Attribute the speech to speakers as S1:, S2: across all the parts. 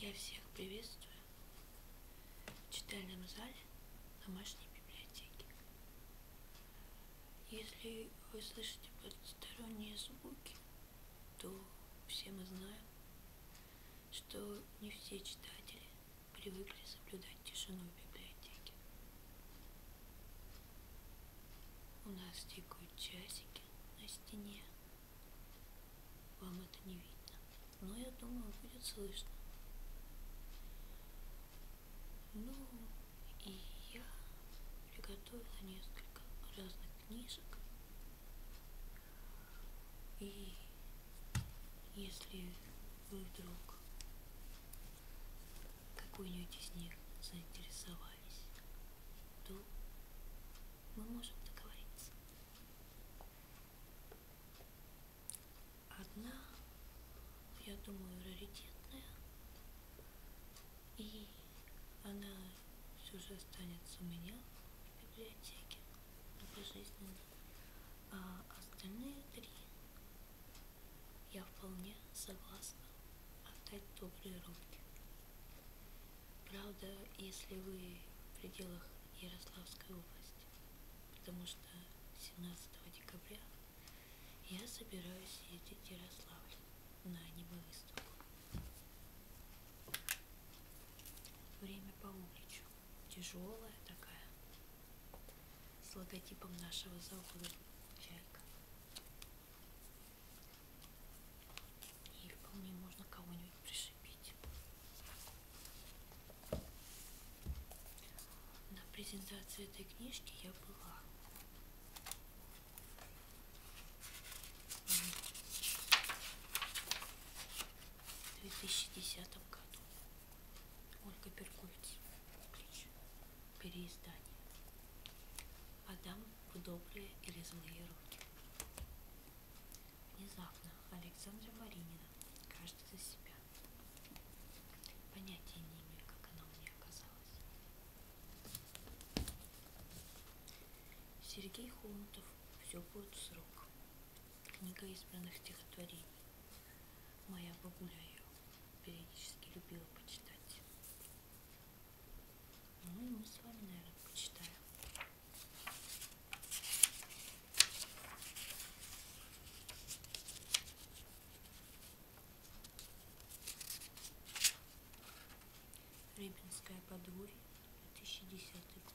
S1: Я всех приветствую в читальном зале домашней библиотеки. Если вы слышите посторонние звуки, то все мы знаем, что не все читатели привыкли соблюдать тишину в библиотеке. У нас тикают часики на стене. Вам это не видно, но я думаю, будет слышно. Ну, и я приготовила несколько разных книжек. И если вы вдруг какой-нибудь из них заинтересовал, расставались, то мы можем договориться. Одна, я думаю, раритетная, и она все же останется у меня в библиотеке пожизненно, а остальные три я вполне согласна отдать добрые руки. Правда, если вы в пределах Ярославской области, потому что 17 декабря я собираюсь ездить в Ярославль на аниме-выставку. Время по уличу. Тяжелая такая. С логотипом нашего завода «Чайка». И вполне можно кого-нибудь пришибить. На презентации этой книжки я была. В 2010 году Ольга Берковиц переиздание. Отдам в добрые или злые руки. Внезапно Александра Маринина, каждый за себя. Понятия не имею, как она у меня оказалась. Сергей Хомутов «Все будет в срок». Книга избранных стихотворений. Моя бабуля периодически любила почитать. Ну и мы с вами, наверное, почитаем. Рыбинское подворье, 2010 год.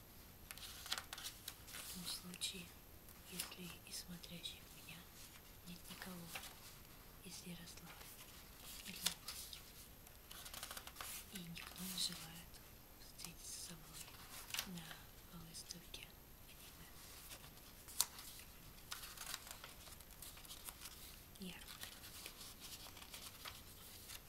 S1: В том случае, если и смотрящих меня нет никого из Ярослава или области, и никто не желает встретиться со мной на выставке аниме. Ярко.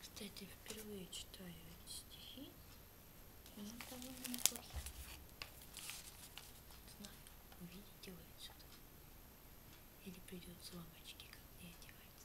S1: Кстати, впервые читаю эти стихи. Они довольно неплохие. Знаю, увидите вы отсюда. Или придется вам очки ко мне одевать.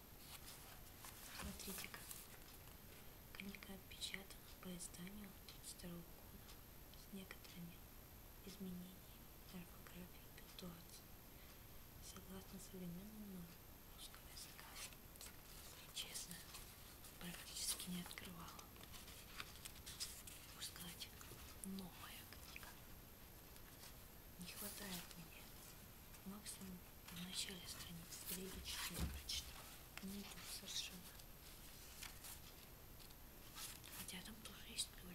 S1: Смотрите-ка. Книга отпечатана по изданию 32 -го года с некоторыми изменениями орфографии и пунктуации, согласно современному русского языка. Честно, практически не открывала. Можно сказать, новая книга. Не хватает мне максимум в начале страницы перейдите, что я прочитала. Не ну, идут совершенно. Хотя там тоже есть доля.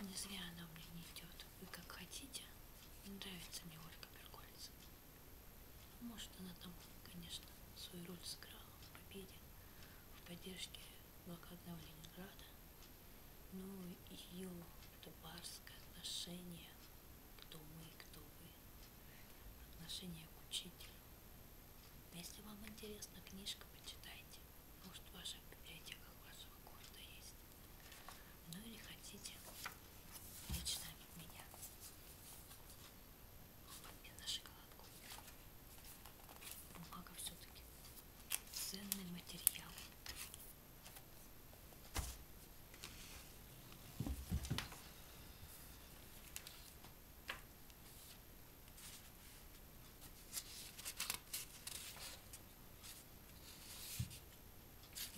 S1: Не зря она у меня не идет. Вы как хотите. Не нравится мне Ольга Перкольцева. Может, она там, конечно, свою роль сыграла в победе, в поддержке блокадного Ленинграда, но ну ее это барское отношение, кто мы, кто вы, отношение к учителю. А если вам интересна книжка, почитайте. Может, в ваших библиотеках вашего города есть. Ну или хотите лично от меня. И на шоколадку. Бумага все-таки. Ценный материал.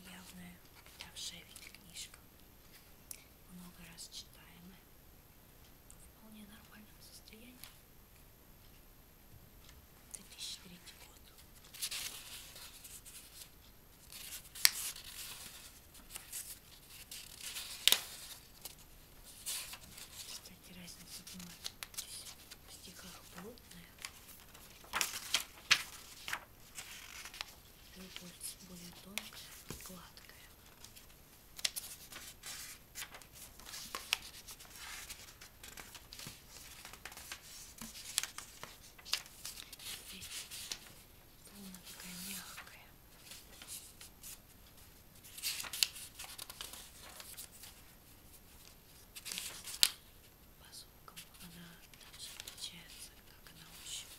S1: Явная, давшая ведь книжка много раз читаемы в вполне нормальном состоянии. 2003 год. Кстати, разница была в стихах плотная любовь более тонкая и гладкая. Здесь полная такая мягкая. По звукам она даже отличается, как на ощупь.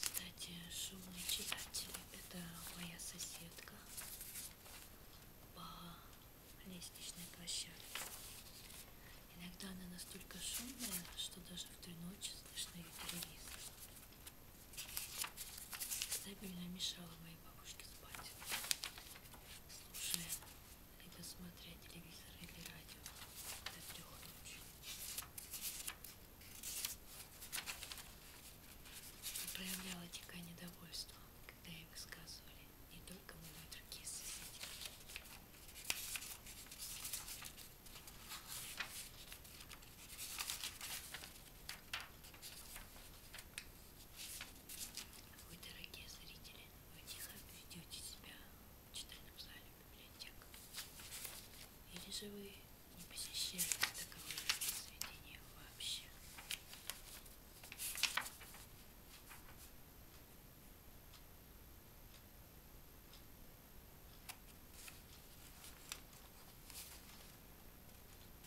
S1: Кстати, шумные читатели это моя соседка по лестничной площадке. Иногда она настолько шумная, что даже в три ночи слышно ее телевизор стабильно мешала моей бабушке спать, слушая либо смотря телевизор или радио до трех ночи. Проявляла дикое недовольство, когда ей высказывали не только мной, другие соседи. Вы, дорогие зрители, вы тихо ведете себя в читальном зале библиотек. Или же вы не посещаете таковые сведения вообще?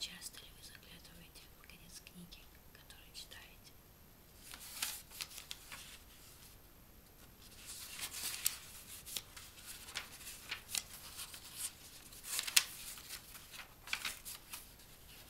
S1: Часто ли вы заглядываете в конец книги, которую читаете?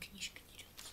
S1: Книжка дерется.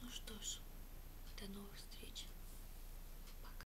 S1: Ну что ж, до новых встреч. Пока.